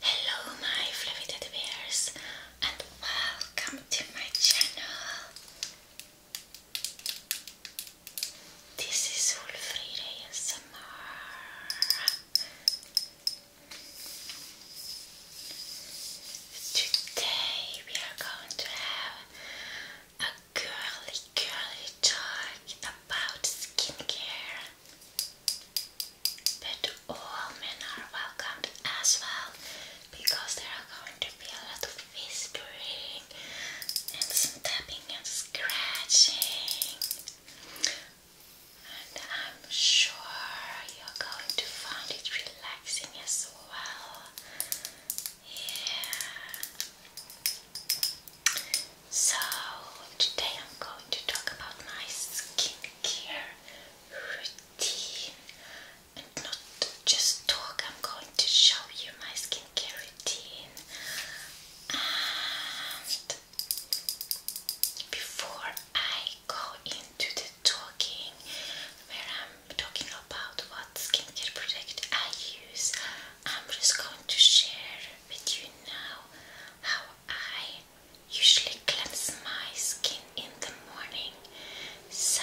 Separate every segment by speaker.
Speaker 1: Hello my fluffy teddy and welcome to my channel. This is Wolfrida ASMR. Today we are going to have a girly girly talk about skincare. But all men are welcomed as well because there are going to be a lot of whispering and some tapping and scratching. And I'm sure you're going to find it relaxing as well. Yeah. So, today I'm going to talk about my skincare routine. And not just talk, I'm going to show you my skincare routine. And before I go into the talking, where I'm talking about what skincare product I use, I'm just going to share with you now how I usually cleanse my skin in the morning. So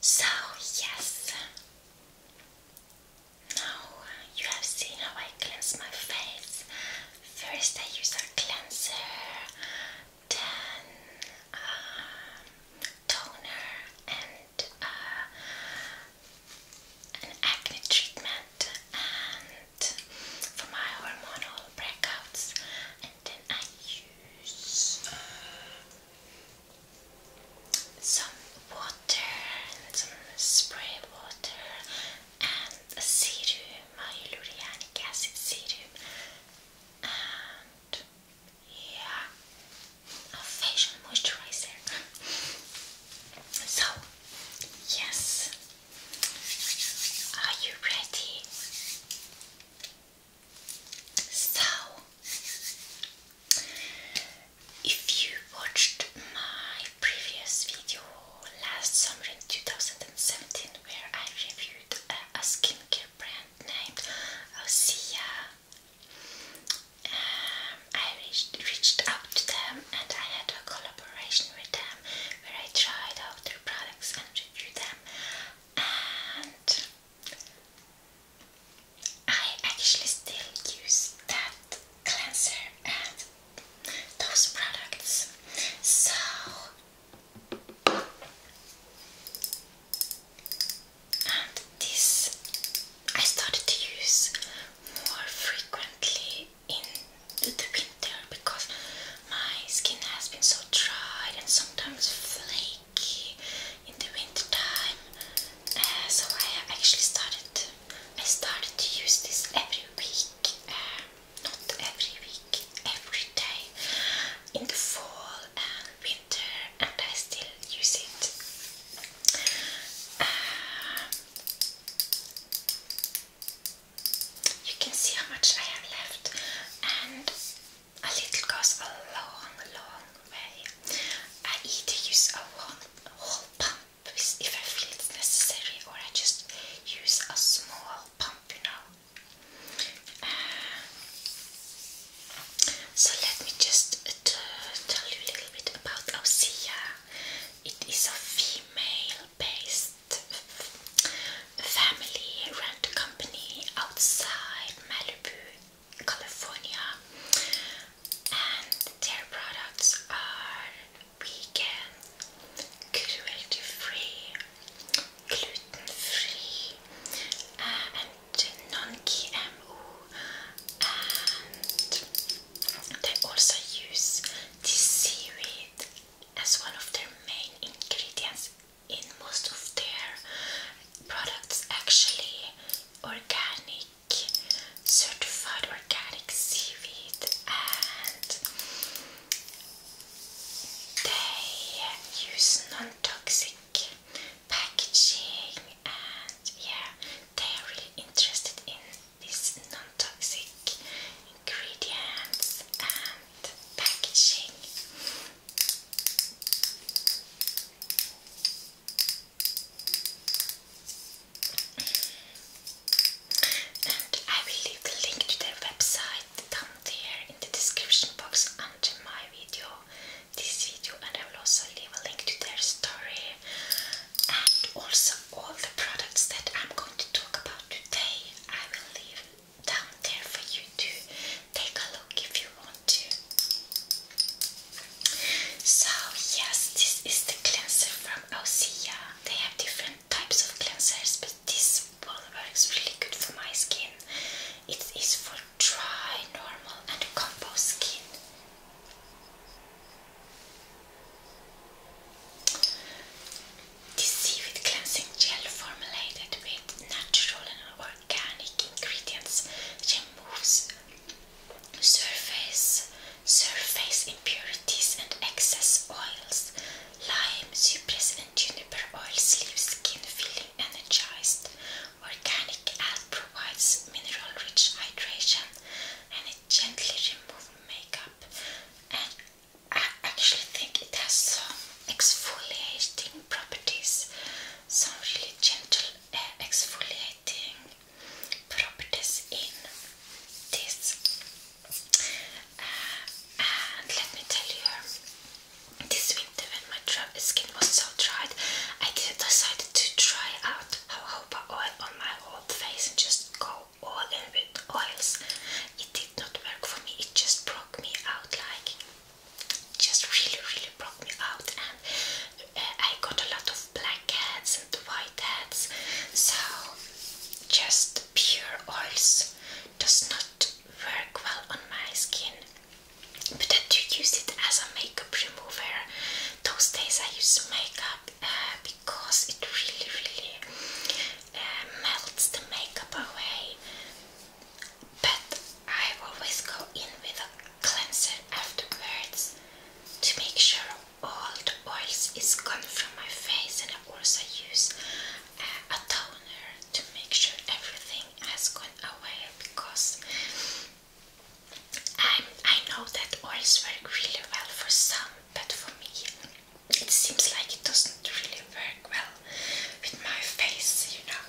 Speaker 1: So, yes, now you have seen how I cleanse my face first I use a cleanser, then toner and uh, an acne treatment and for my hormonal breakouts and then I use uh, some water and some spray water and a serum, hyaluronic acid serum, and yeah, a facial moisturizer. so, yes, are you ready? So, if you watched my previous video last summer in 2017 where I reviewed a, skincare brand named Osea. Um, I reached, reached out to them and I had a collaboration with them where I tried out their products and reviewed them and I actually still use that cleanser and those products. So and this I started to use more frequently in the winter because my skin has been so dry and sometimes flaky in the winter time. Uh, so I actually started I started to use this every week um, not every week, every day, in the fall and winter, and I still use it. Um, you can see how much I have left, and a little goes a long, long way. I either use a one whole pump if I feel it's necessary, or I just use a small pump, you know. Uh, so let me just uh, tell you a little bit about Osea. It is a female-based family-run company outside Malibu, California, and their products are vegan, cruelty free, gluten free, and non-GMO. And they also use seaweed as one of their main ingredients in most of their products. Actually, organic. Certified organic seaweed and they use non-toxic packaging and yeah, they are really interested in these non-toxic ingredients and packaging. And I will leave the link to their website down there in the description box under my video, this video, and I will also leave a link to their story and also all the products that I'm going to talk about today. I will leave down there for you to take a look if you want to. So yes, this is the cleanser from Osea. They have different types of cleansers, but this one works really good for my skin. It is for dry, normal, and compost skin. This seaweed cleansing gel formulated with natural and organic ingredients removes surface surface impurities and excess oils Lime, cypress, and juniper oil leave skin feeling energized. Organic ad provides mineral-rich hydration, and it gently removes makeup. And I actually think it has some exfoliating properties, some really gentle uh, exfoliating properties in this and let me tell you, this winter when my skin was so dried, I decided to try out jojoba oil on my old face and just go all in with oils. It did not work for me, it just broke me out like, just really, really broke me out. And uh, I got a lot of black heads and white heads. So just pure oils does not work well on my skin. But I do use it as a makeup remover. Those days I use makeup uh, because it really, really uh, melts the makeup away. But I always go in with a cleanser afterwards to make sure all Oil is gone from my face and I also use uh, a toner to make sure everything has gone away because i I know that oils work really well for some but for me it seems like it doesn't really work well with my face, you know.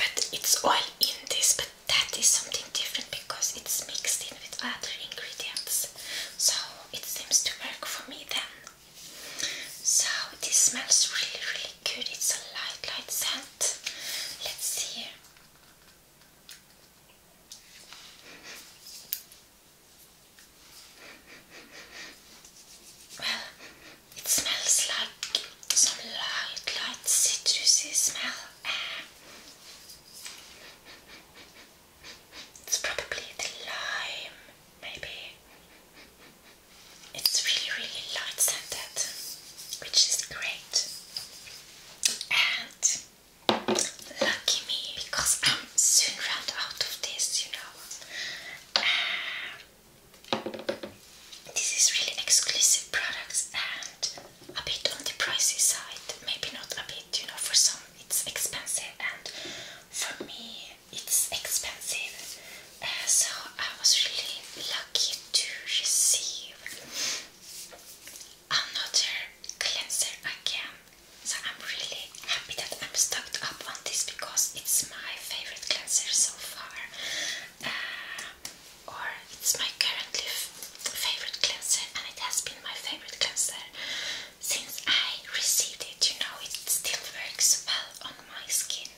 Speaker 1: But it's oil in this, but that is something different because it's mixed in with other ingredients. So it seems to work for me then. So this smells really, really good. It's a light, light scent. Let's see Well, it smells like some light, light citrusy smell. It's probably the lime, maybe. It's really, really light scented, which is great. And lucky me, because I'm soon run out of this, you know. Um, this is really exclusive products and a bit on the pricey side. Maybe not a bit, you know, for some it's expensive and for me it's expensive uh, so I was really lucky to receive another cleanser again so I'm really happy that I'm stocked up on this because it's my favorite cleanser so far uh, or it's my currently favorite cleanser and it has been my favorite cleanser since I received it, you know, it still works well on my skin.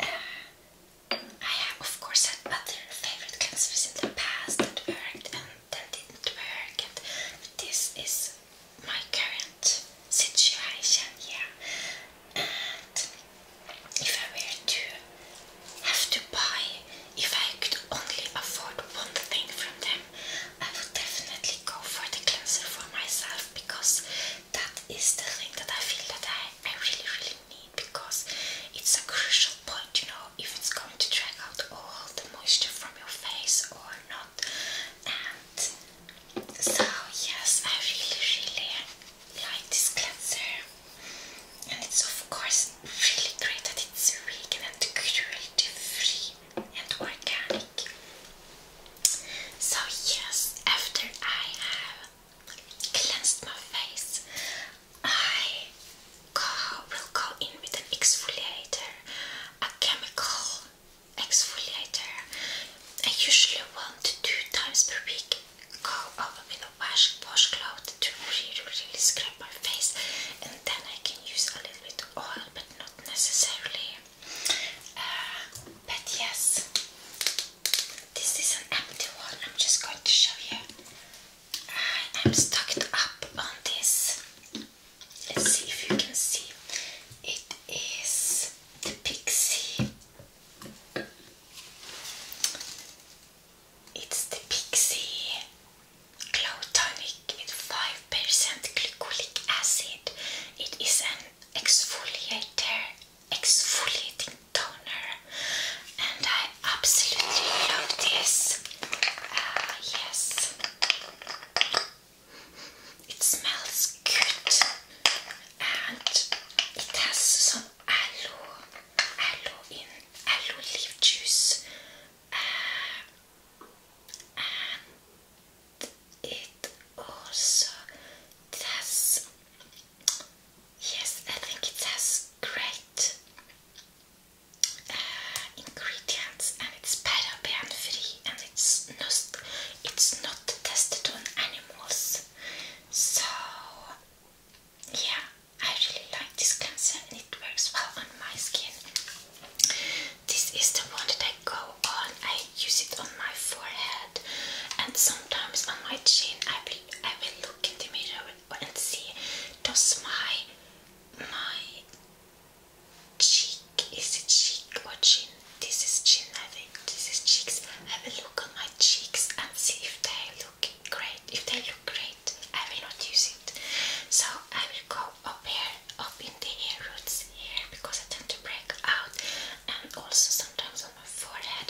Speaker 1: Uh, I have, of course, had other favorite cleansers in the past that worked and that didn't work, and this is my current situation, yeah if I were to have to buy, if I could only afford one thing from them, I would definitely go for the cleanser for myself because that is the thing that I feel that I, I really really need because it's a crucial point, you know, if it's going to drag out all the moisture from your face or not. And so yes, I really really like this cleanser. And it's of course really great that it's vegan and cruelty free and organic. So, yes, after I have cleansed my face, I will go in with an exfoliator, a chemical exfoliator. I usually want two times per week, go over with a wash washcloth to really, really scrub my face, and then I can use a little bit of oil, but not necessarily. Uh, but yes, this is an empty one. I'm just going to show you. I am stocked up on this. Let's see if you can see. It is the Pixie. It's the Pixie Glow Tonic with 5% glycolic acid. It is an exfoliator, exfoliating toner, and I absolutely love this. Ah, yes, it smells good, and it has some aloe, aloe in aloe leaf juice, uh, it also has yes, I think it has great uh, ingredients, and it's paraben free, and it's not it's not tested on animals, so. Yeah, I really like this concealer and it works well on my skin. This is the one that I go on. I use it on my forehead and sometimes on my chin. I will I will look in the mirror and see does my my cheek is it cheek or chin? This is chin I think. This is cheeks. I will look on my cheeks and see if they look great, if they look great, I will not use it. So I will go up here, up in the hair roots here, because I tend to break out, and also sometimes on my forehead.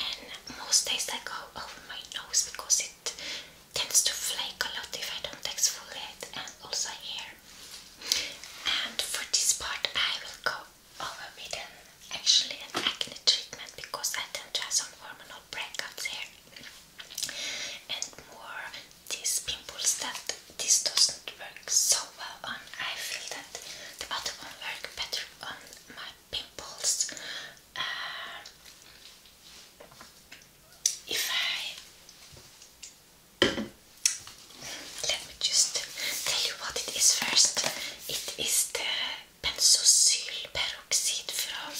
Speaker 1: And most days I go over my nose because it tends to flake a lot if I don't exfoliate, and also here. And for this part, I will go over with an actually an acne treatment because I tend to have some hormonal breakouts here and more these pimples that this doesn't work so well on. I feel that the other one works better on my pimples. Uh, if I let me just tell you what it is first. It is the benzosylperoxide from.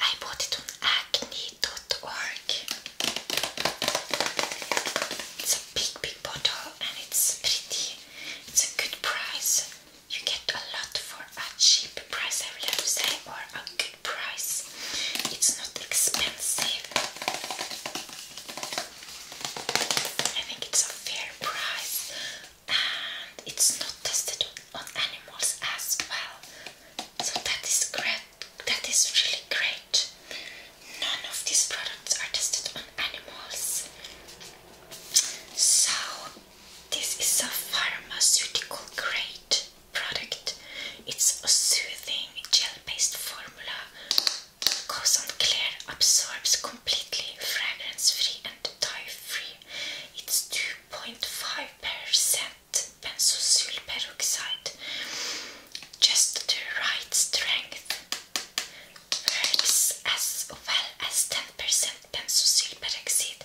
Speaker 1: I bought it on acne.org. It's a big, big bottle and it's pretty. It's a good price. You get a lot for a cheap price, I will say, or a good price. It's not expensive. I think it's a fair price and it's not tested on, animals as well. So that is great. That is really great. None of these products are tested on animals. So this is a pharmaceutical grade product. It's a soothing gel-based formula. Goes on clear, absorbs completely, fragrance-free and dye-free. It's 2 0.5% benzosyl peroxide. Just the right strength. Works as well as 10% benzosyl peroxide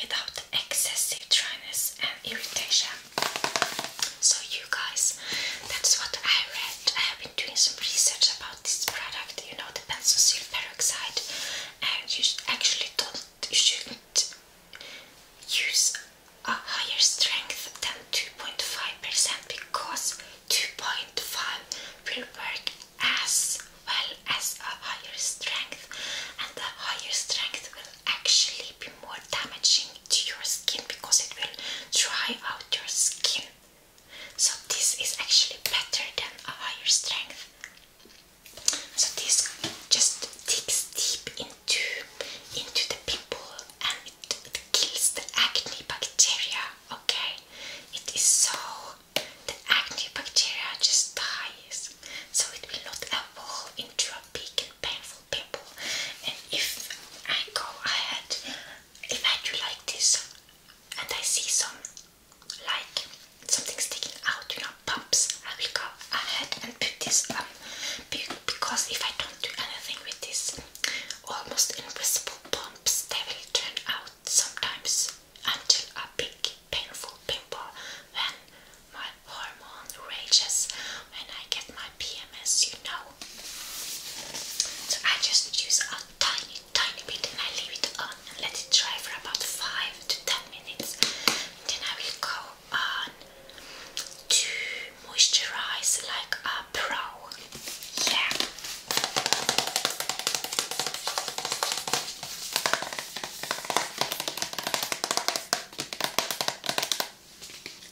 Speaker 1: without excessive dryness and irritation. So you guys, that's what I read. I have been doing some research about this product, you know, the benzosyl peroxide, and you actually don't you shouldn't use a higher strength than 2.5% because 2.5 will work as well as a higher strength and the higher strength will actually be more damaging to your skin because it will dry out your skin. So this is actually better than a higher strength. So this just digs deep into into the pimple and it, kills the acne bacteria. Okay, it is so the acne bacteria just dies, so it will not evolve into a big and painful pimple. And if I go ahead, if I do like this, and I see some like something sticking out, you know, bumps. I will go ahead and put this on because if I don't do anything with these almost invisible bumps, they will turn out sometimes until a big painful pimple when my hormone rages when I get my PMS, you know. So I just use a tiny, tiny bit and I leave it on and let it dry for about 5 to 10 minutes. Then I will go on to moisturize like a pro. Yeah.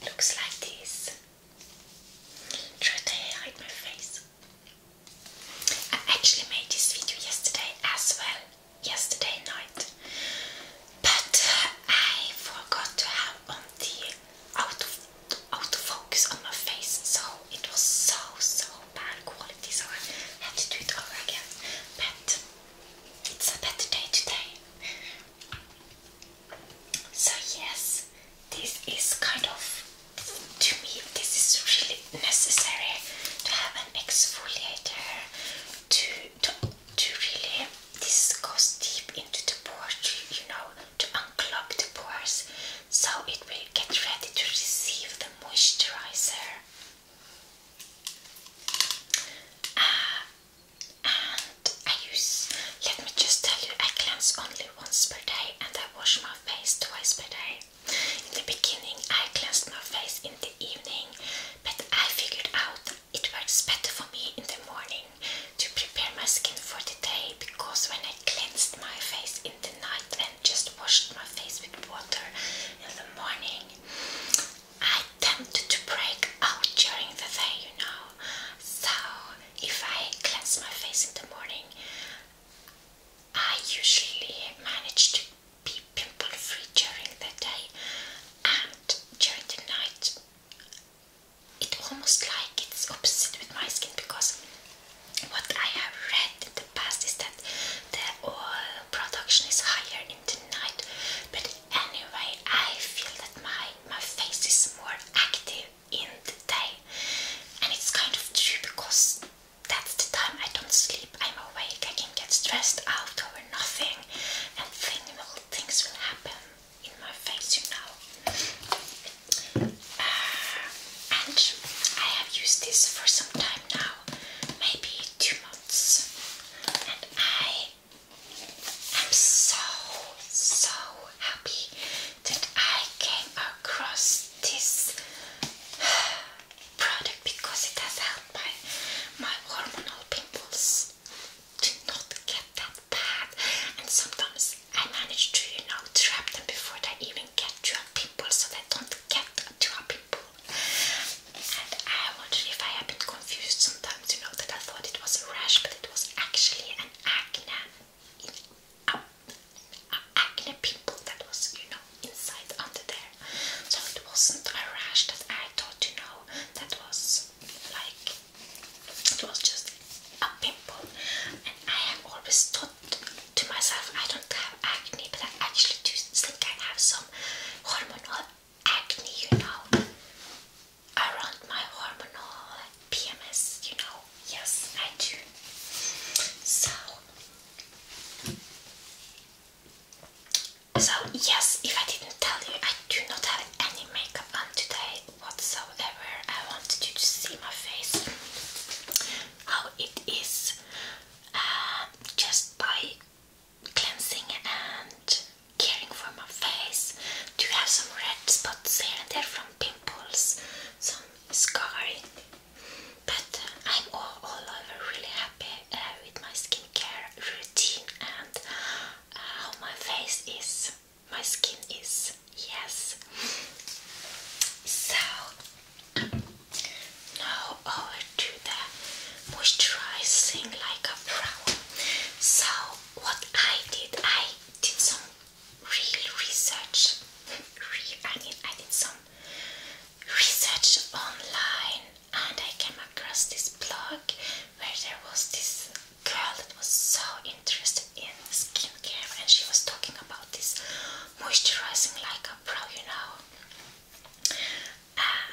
Speaker 1: Looks like this. Try to hide my face. I actually made this video yesterday as well, yesterday night, but I forgot to have on the auto focus on my face, so it was so so bad quality. So I had to do it over again. But it's a better day today. So yes, this is kind of to me. This is really necessary to have exfoliator to to, to really this goes deep into the pores, you know, to unclog the pores, so it will get ready to receive the moisturizer. Ah, and I use. Let me just tell you, I cleanse only once per day, and I wash my face twice per day. In the beginning, I cleansed my face in the evening, but I figured out it works better for me in the morning to prepare my skin for the day because when I cleansed my face in the night and just washed my face with water in the morning, I tended to break out during the day, you know. So if I cleanse my face in the morning, I usually manage to be pimple free during the day and during the night it's almost like it's opposite with my skin because what I have read in the past is that the oil production is higher in the night but anyway I feel that my my face is more active in the day and it's kind of true because that's the time I don't sleep I'm awake, I can get stressed out over nothing and thing, things will happen in my face, you know. Uh, and I have used this for some time now, maybe two months, and I am so, so happy that I came across this product because it has helped my, my hormonal pimples to not get that bad. And sometimes I manage to, you know, trap them before they even get to a pimple so they don't get to a pimple. And I wonder if I have been confused sometimes, you know, that I thought it was a rash, but it was actually an acne, an acne pimple that was, you know, inside under there. So it wasn't a rash that I thought, you know, that was like it was just a pimple. And I have always thought to myself, I don't have acne, but I actually do think I have some hormonal acne, you know, around my hormonal PMS, you know. Yes, I do. So so yes, if I didn't tell you, I do not have any makeup on today whatsoever. I wanted you to see my face, how it is, uh, just by cleansing and caring for my face. Do you have some red spots here and there from pimples, some scarring? But I'm all, all over really happy uh, with my skin skincare routine and uh, how my face is, my skin is. Yes. So now over to the moisturizing like a pro. So what I did, I did some real research. I mean, I did some research online and I came across this blog where there was this girl that was so interested in skincare and she was talking about this moisturizing like a pro, you know. Uh,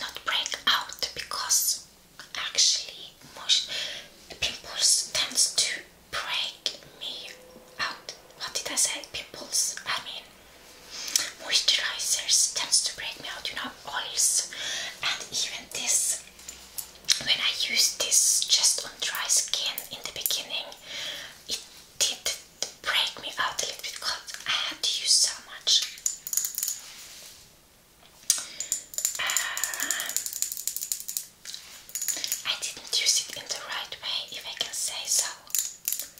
Speaker 1: not break out because actually pimples tends to break me out. What did I say? Pimples? I mean moisturizers tends to break me out, you know, oils and even this when I used this just on dry skin in the beginning it did break me out a little bit because I had to use so much um, I didn't use it in the right way if I can say so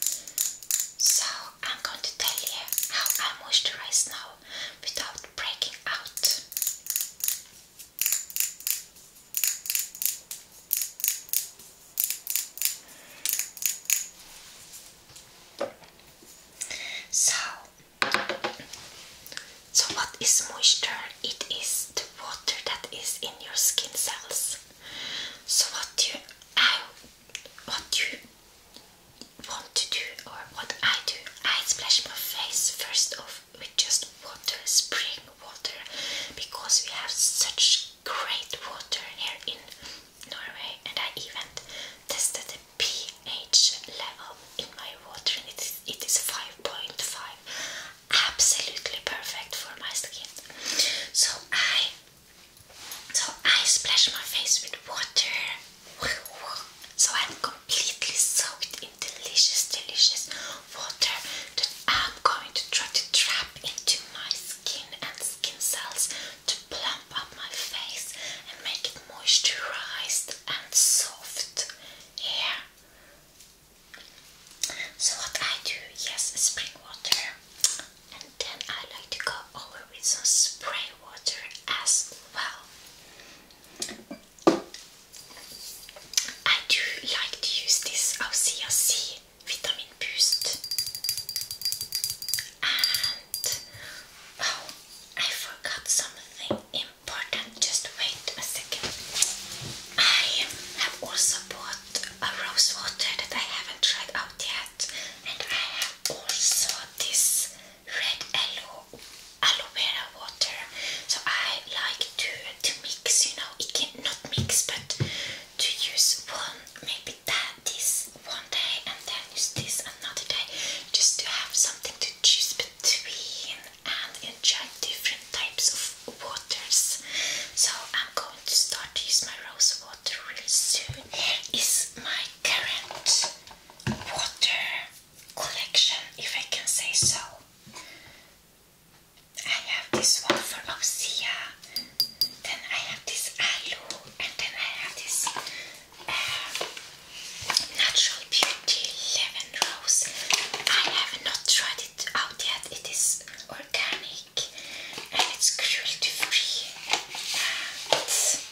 Speaker 1: so I'm going to tell you how I moisturize now without breaking out. So, so what is moisture? It is the water that is in your skin cells. So what do you, what you want to do or what I do. I splash my face first off with just water, spring water, because we have such great water here in Norway and I even tested the pH level in my water and it is, it is 5.5 absolutely perfect for my skin so I so I splash my face with water. So I'm completely soaked in delicious, delicious water that I'm going to try to trap into my skin and skin cells to plump up my face and make it moisturized and soft. Yeah. So what I do, yes, spring water and then I like to go over with some spray water as well. I do like to use this Osea C Vitamin Boost. And oh, I forgot something important. Just wait a second. I have also bought a rose water that I haven't tried out yet. And I have also this red aloe, aloe vera water. So I like to, to mix, you know, it can not mix, but to use one, maybe that this one day and then use this another day, just to have something to choose between and enjoy different types of waters. So I'm going to start to use my rose water really soon. Here is my current water collection, if I can say so. I have this one for then I have this Alu, and then I have this uh, Natural Beauty Lemon Rose. I have not tried it out yet, it is organic and it's cruelty free. Uh,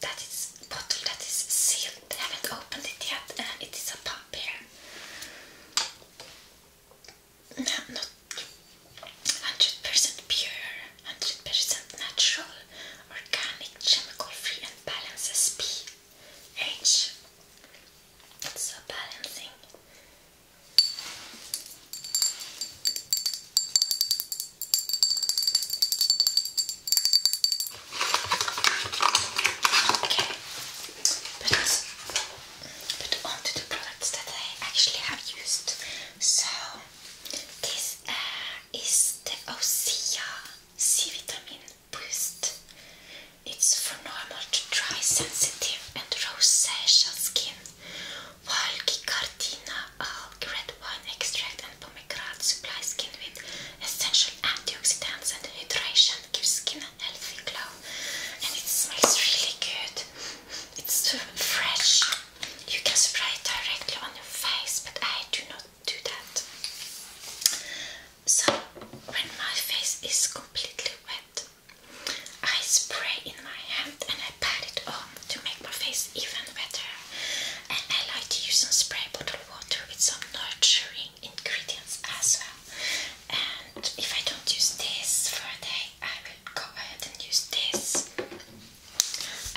Speaker 1: that is a bottle that is sealed. I haven't opened it yet. Uh, it is a pump here. No, not 100% pure, 100% natural, organic, chemical-free and balances pH. It's so balancing. Okay, but, but on the products that I actually have used. So, this uh, is the Osea C Vitamin Boost. It's for normal to dry, sensitive, and rosacea skin, while Alk, red wine extract, and pomegranate supply skin with essential antioxidants and hydration, gives skin a healthy glow, and it smells really good. It's so fresh. You can spray it directly on your face, but I do not do that. So, when my face is completely wet, I spray in my hand and I pat it on to make my face even wetter. And I like to use some spray bottle water with some nurturing ingredients as well. And if I don't use this for a day, I will go ahead and use this.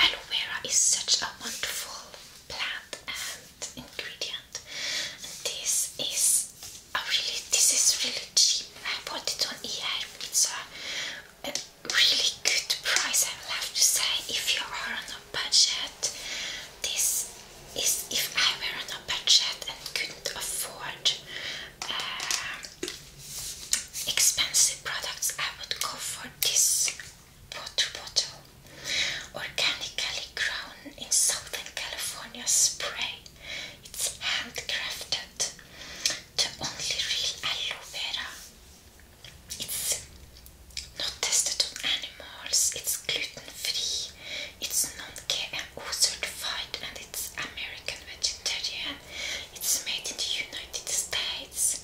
Speaker 1: Aloe vera is such a wonderful plant and ingredient. this is a really, this is really cheap. I bought it on eHarmony. Uh, really good price I will to say if you are on a budget. This is if I were on a budget and couldn't afford uh, expensive products I would go for this water bottle. Organically grown in Southern California spray. It's handcrafted to only real aloe vera it's not tested on animals, it's gluten free, it's non GMO certified, and it's American vegetarian. It's made in the United States.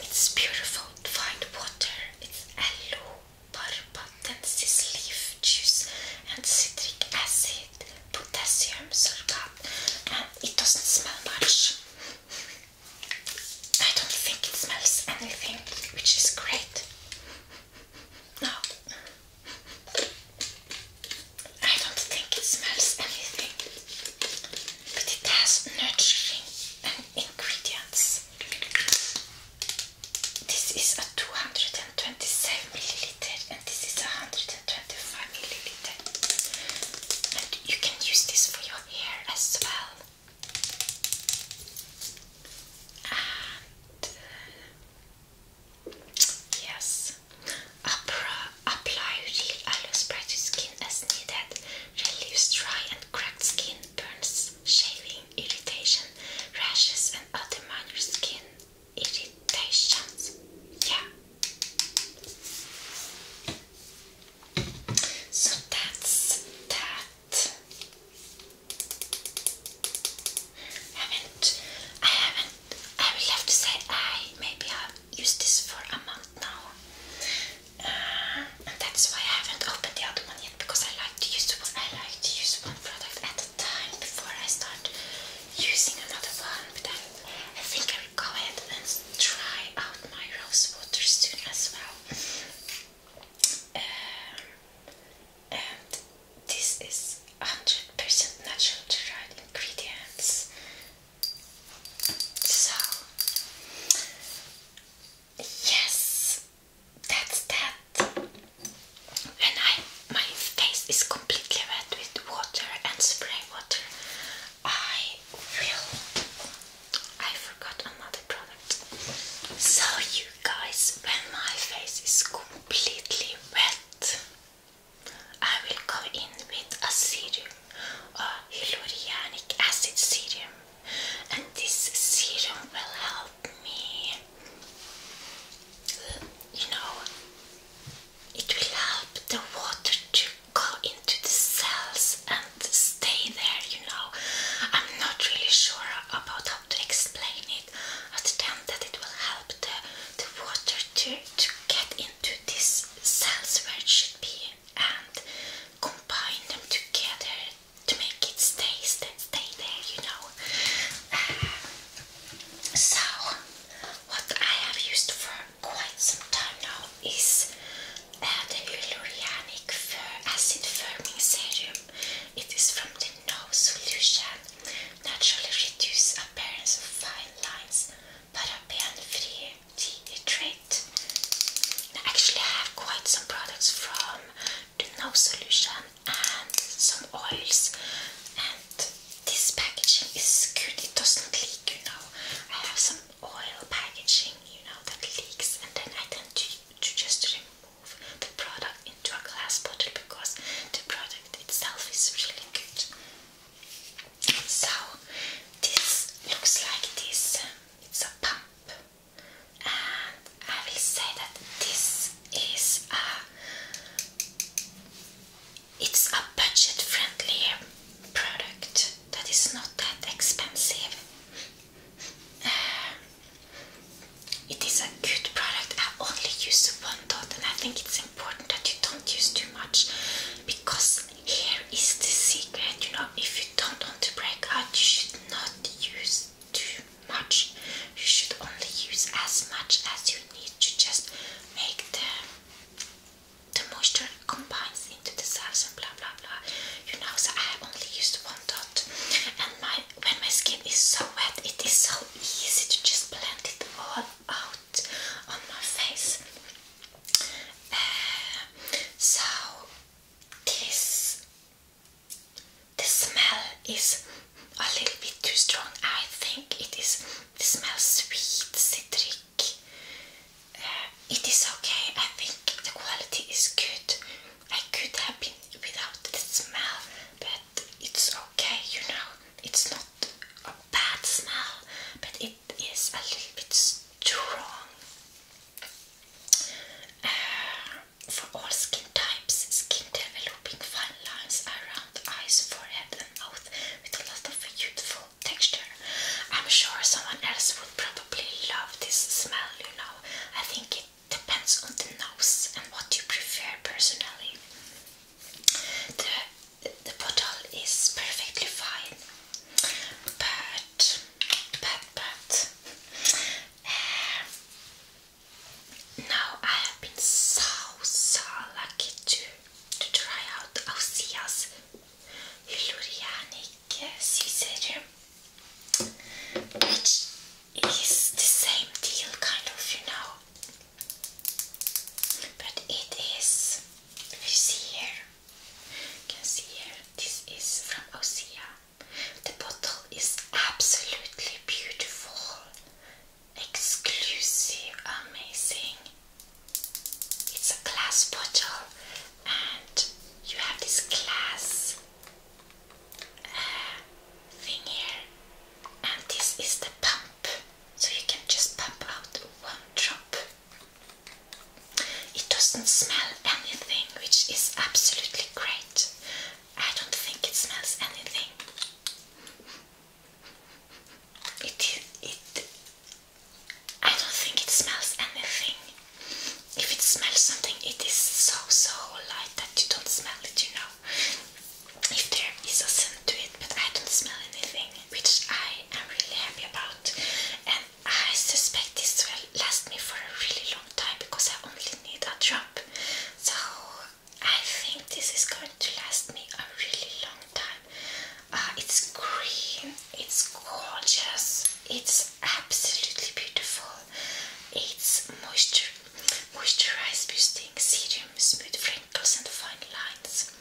Speaker 1: It's beautiful fine water, it's aloe, barbatensis leaf juice, and citric acid, potassium, sulfate, and it doesn't smell much. I don't think it smells anything, which is great. No, I don't think it smells anything, but it has nurturing ingredients. This is a 227 milliliter, and this is a 125 milliliter. And you can use this for your hair as well. And uh, yes, apply aloe spray to skin as needed. Relieves dry and cracked skin, burns, shaving, irritation, rashes, and other minor skin irritations. Yeah. So that's that. I haven't, I haven't, I will have to say I maybe have used this for a month now. Uh, and that's why I haven't opened the other one yet because I like to use I like to use one product at a time before I start using another one. But I, I think I will go ahead and try out my rose water soon as well. Um, and this is 100% natural derived ingredients. So, yes, that's that. And I, my face is completely wet with water and spray water. I will I forgot another product. So, you guys, when my face is completely wet, I will come in with a serum, a hyaluronic acid serum, and this serum will help me. You know, it will help the water to go into the cells and stay there, you know. I'm not really sure about how to explain it, but damn, that it will help the, the water to, to get into these cells where it should be and combine them together to make it stay, stay, stay there, you know. Uh, so, what I have used for quite some time now is uh, the Hyaluronic Acid Firming Serum. It is from the No Solution. Naturally reduce appearance of fine lines, paraben-free trait. I actually have quite some products from the No Solution and some oils. And this packaging is good. It doesn't leak, you know. I have some oil packaging, you know, that leaks, and then I tend to, just remove the product into a glass bottle because the product itself is really good. So this looks like this. Um, it's a pump, and I will say that this is a it's a budget-friendly product that is not that expensive it is a good product. I only use one dot, and I think it's important that you don't use too much because here is the secret. You know, if you don't want to break out, you should not use too much. You should only use as much as you need to just make the the moisture combine into the cells and blah blah blah. You know, so I only used one dot. And my when my skin is so wet, it is so easy to just blend it all out on my face. Uh, so this the smell is a little bit too strong. I think it is. It smells sweet, citric, it is okay. I think the quality is good. I could have been without the smell, but it's okay, you know. It's not a bad smell, but it is a little bit strong. Uh, for all skin types, skin developing fine lines around eyes, forehead, and mouth with a lot of youthful texture. I'm sure someone else probably love this smell, you know. I think it depends on the nose and what you prefer personally. The, the bottle is perfectly fine, but, but, but, uh, now I have been so, so lucky to, to try out Ausia's Hyaluronic Sea Serum which is the same deal, kind of, you know, but it is, if you see here, you can see here, this is from Osea. The bottle is absolutely beautiful, exclusive, amazing. It's a glass bottle and you have this glass uh, thing here, and this is the pump, so you can just pump out one drop. It doesn't smell anything, which is absolutely great. I don't think it smells anything. It, it, I don't think it smells anything. If it smells something, it is so so light that you don't smell it, you know. If there is a scent to it, but I don't smell anything, which I am really happy about. And I suspect this will last me for a really long time because I only need a drop. So I think this is going to last me a really long time. Uh, it's green, it's gorgeous, it's absolutely beautiful. It's moisture, moisturize boosting serum, smooth wrinkles and fine lines.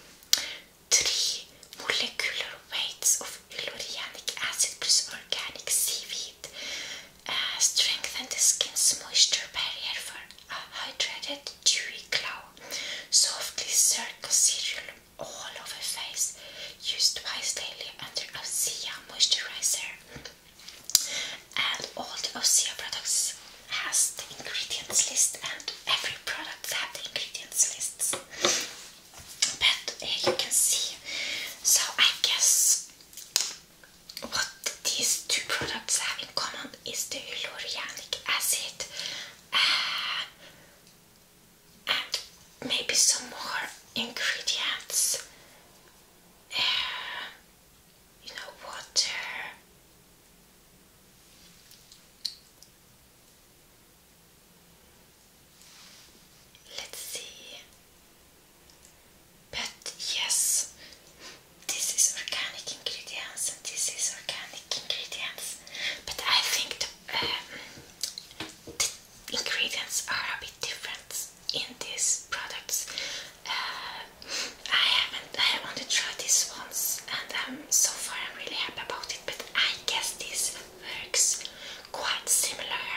Speaker 1: 3. Molecular weights of hyaluronic acid plus organic seaweed uh, strengthen the skin's moisture barrier for a hydrated, dewy glow. Softly circle serum all over face, Used twice daily under Osea moisturizer. And all the Osea products has the ingredients list and every product has the ingredients lists. But here you can see. So I guess what these two products have in common is the hyaluronic acid and maybe some more ingredients. Uh, you know, water. Let's see. But yes, this is organic ingredients and this is organic ingredients. But I think the um, ingredients are a bit different in these products. Uh, I haven't, I want to try these ones, and so far I'm really happy about it. But I guess this works quite similar.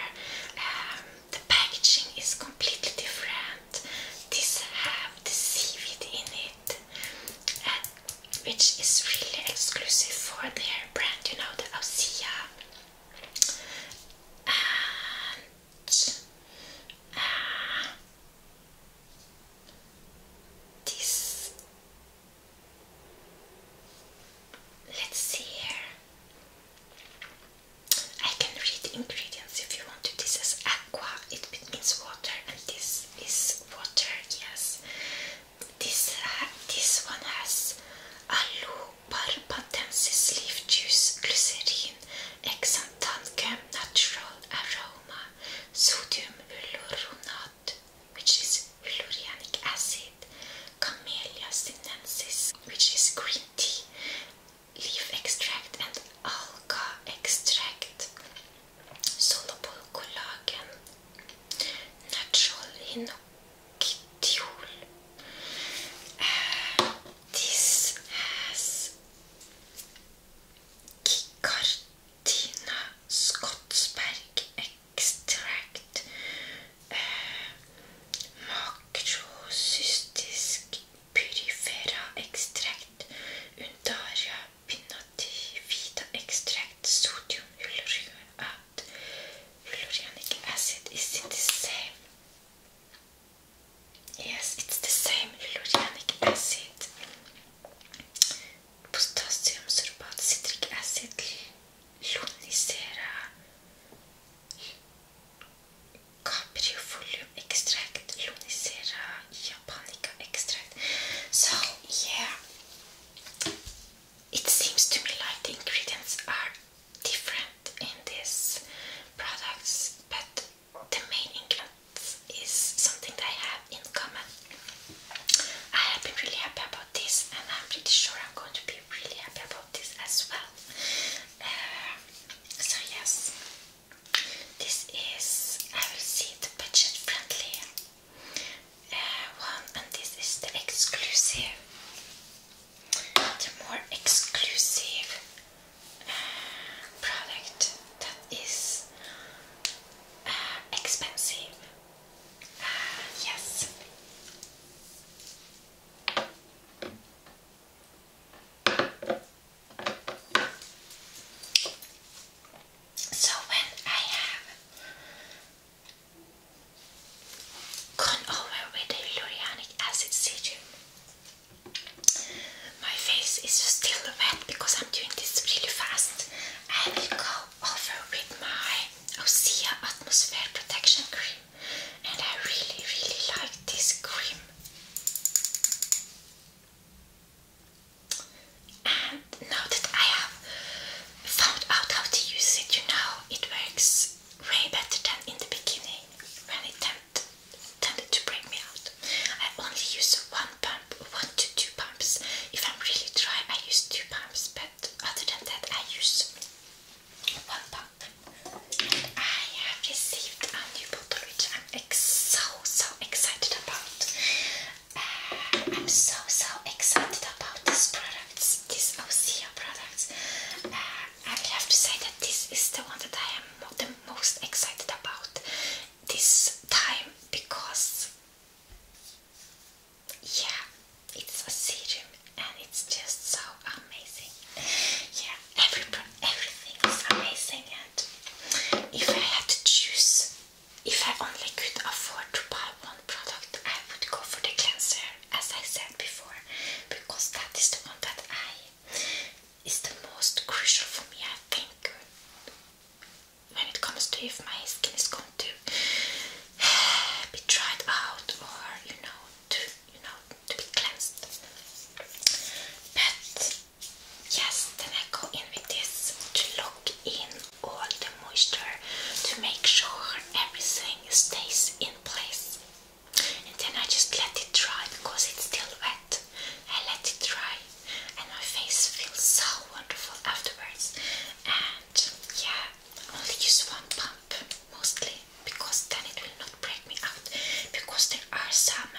Speaker 1: Um, the packaging is completely different. These have the seaweed in it, uh, which is really exclusive for their brand. You know, the Osea and uh, this let's see here I can read the ingredients if you want to this is aqua it means water and this is water yes this uh, this one has aloo Barbatensis leaf juice, glycerin, exantan natural aroma, sodium hyaluronate, which is hyaluronic acid, camellia sinensis, which is green tea, leaf extract and alga extract, soluble collagen, natural hinoki Kitiul. Uh, this has Kikartina Scotsberg extract, uh, makrocystisk purifera extract, undaria pinnativida extract, sodium hyaluronic acid. acid is in the same Yes, it's the same Lulurianic acid, potassium sorbate, citric acid, Lunicera, caprifolium extract, Lunicera, japonica extract. So, yeah, it seems to me like the ingredients are different ingredient in these products, but the main ingredient is something that I have in common. I have been really happy about this, and I'm pretty sure I'm going to be really happy about this as well. Uh, so yes, this is I will see the budget friendly uh, one, and this is the exclusive the more exclusive uh, product that is uh, expensive. Uh, yes. So when I have Gone over with the lurianic acid serum. My face is still wet because I'm doing this really fast. I go over with my Osea Atmosphere Protection Cream. And I really, really like this cream. And now that I have found out how to use it, you know, it works way better than in the beginning when it tempted, tended to break me out. I only use one pump, one to two pumps. If I'm really dry, I use two pumps, but other than that, I use one pump. I have received a new bottle I'm so so excited about. Uh, I'm so so excited about these products, these Osea product. Uh, I have to say that this is the one that I am the most excited about this time because yeah, it's a serum and it's just so amazing. Yeah, every everything is amazing and if I had to choose, if I only could afford to buy one product, I would go for the cleanser as I said before, because that is the one that I is the most crucial for me, I think, when it comes to if my skin is going to be dried out or you know to you know to be cleansed. But yes, then I go in with this to lock in all the moisture to make sure everything stays in place and then I just let it dry because it's still wet. I let it dry, and my face feels so wonderful afterwards. And yeah, only use one pump mostly because then it will not break me out. Because there are some,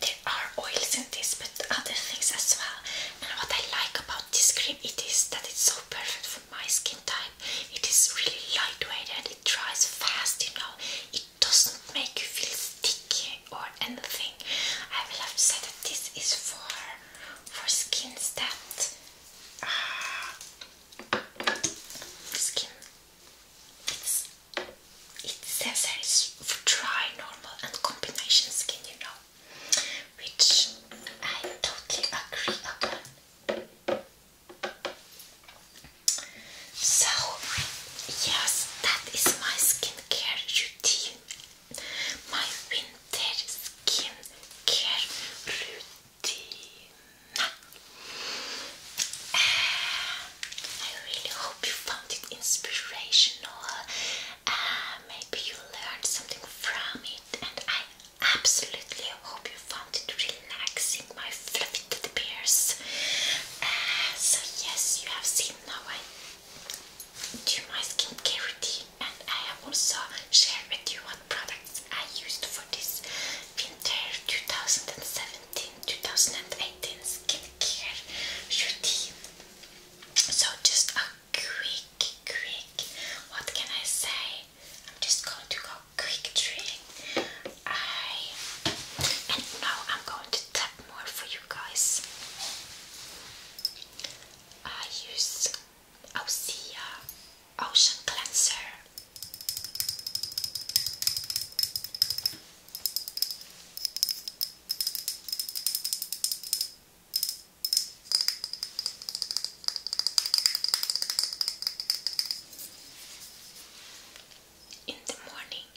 Speaker 1: there are oils in this, but other things as well. And what I like about this cream, it is that it's so perfect for my skin type. It is really lightweight and it dries fast, you know. It doesn't make you feel sticky or anything. I will have said that this is for for skins that uh, skin. it says that it's for dry, normal, and combination skin, you know, which I totally agree upon. So, yes, that is my skincare routine. My winter skincare routine. I really hope you found it inspirational. Uh, maybe you learned something from it, and I absolutely I hope you found it relaxing, my fluffy teddy bears. Uh, so yes, you have seen now I do my skincare routine and I have also shared with you what products I used for this winter 2017 skincare routine. So just a quick, quick, what can I say? I'm just going to go quick drink. I and now I'm going to tap more for you guys. I use Osea Ocean Cleanser in the morning.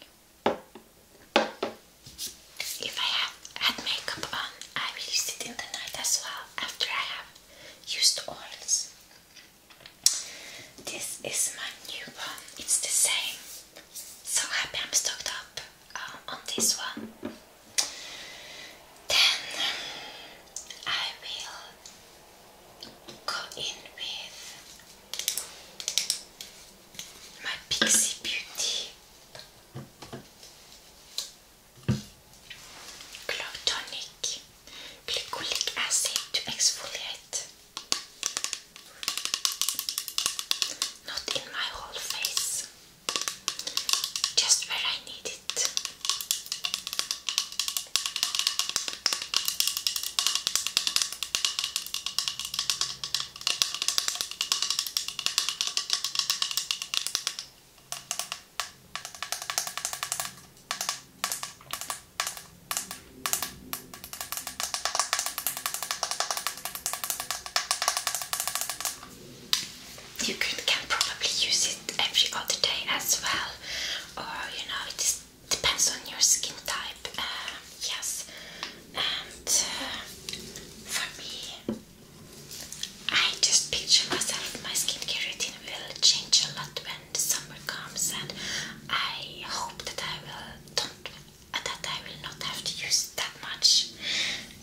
Speaker 1: If I have had makeup on, I will use it in the night as well after I have used oils. This is my new one, it's the same. So happy I'm stocked up uh, on this one. Then I will go in with my Pixie Beauty Clock Glycolic Acid to exfoliate. Not in my whole face, just where I need it. You can, probably use it every other day as well, or you know, it is depends on your skin type, uh, yes. And uh, for me, I just picture myself, my skincare routine will change a lot when the summer comes, and I hope that I will don't uh, that I will not have to use that much.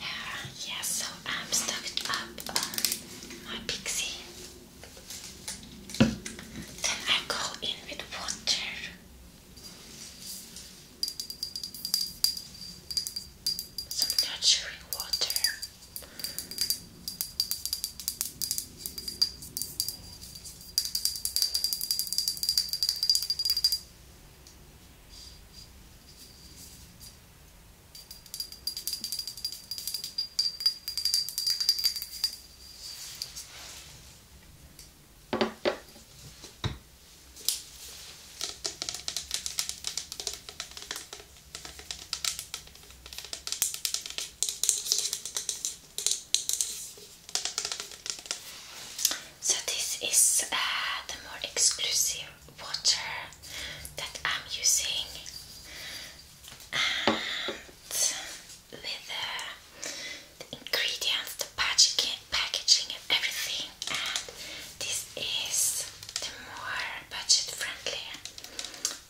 Speaker 1: Uh, so I'm stocked up on my pixie then I go in with water. Some nurturing water. So this is uh, the more exclusive water that I'm using and with uh, the ingredients, the packaging, packaging and everything and this is the more budget friendly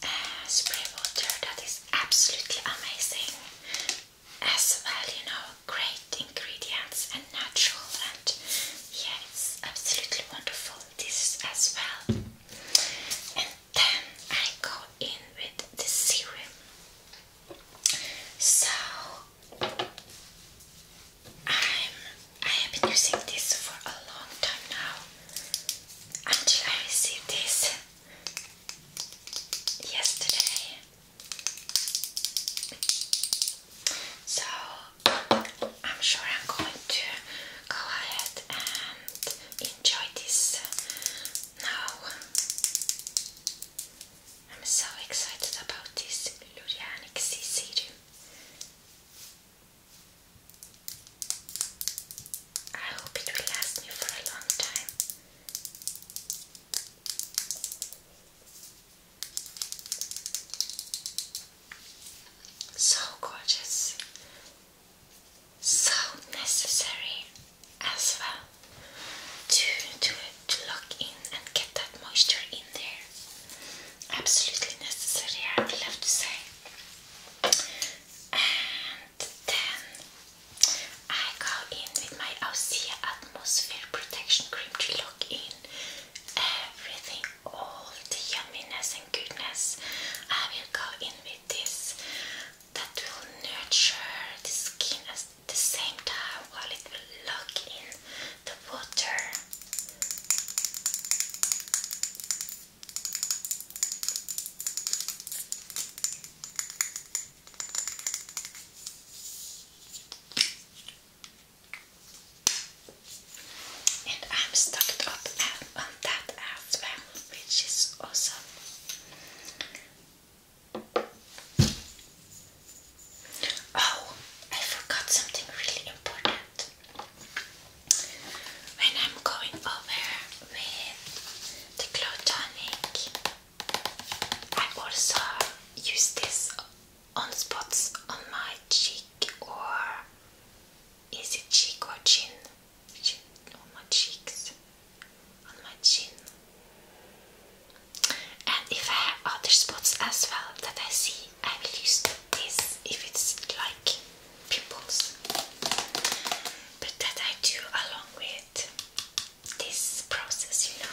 Speaker 1: uh, spray water that is absolutely amazing as well, you know, great ingredients and natural and yeah, it's absolutely wonderful, this as well then I go in with the serum. So I'm I have been using this for a long time now until I received this yesterday. So I'm sure I'm going to go ahead and enjoy this now. I'm so excited about this Lurianic C serum. I hope it will last me for a long time. So gorgeous so necessary as well to, to, to lock in and get that moisture in there. Absolutely necessary, I would love to say. And then I go in with my Osea Atmosphere Protection Cream to lock in everything, all the yumminess and goodness. I will go in with this that will nurture the skin at the same time while it will lock in the water. And I'm stocked up at on that as which is awesome. Oh, I forgot something really important. When I'm going over with the glow I also use this on spots on my cheek or is it cheek or chin? chin, on my cheeks, on my chin. And if I have other spots as well that I see, I will use this if it's like pimples. But that I do along with this process, you know.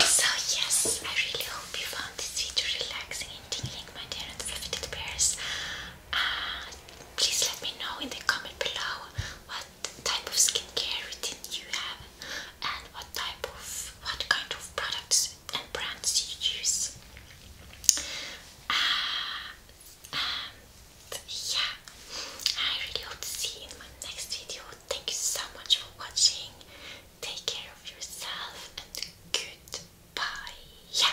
Speaker 1: So yes, I really hope you found this video relaxing and tingling, my dear and fluffy teddy bears. Uh, please let me know in the comment below what type of skincare routine you have and what type of what kind of products and brands you use. Uh, um, yeah, I really hope to see you in my next video thank you so much for watching. Take care of yourself and goodbye. Yeah.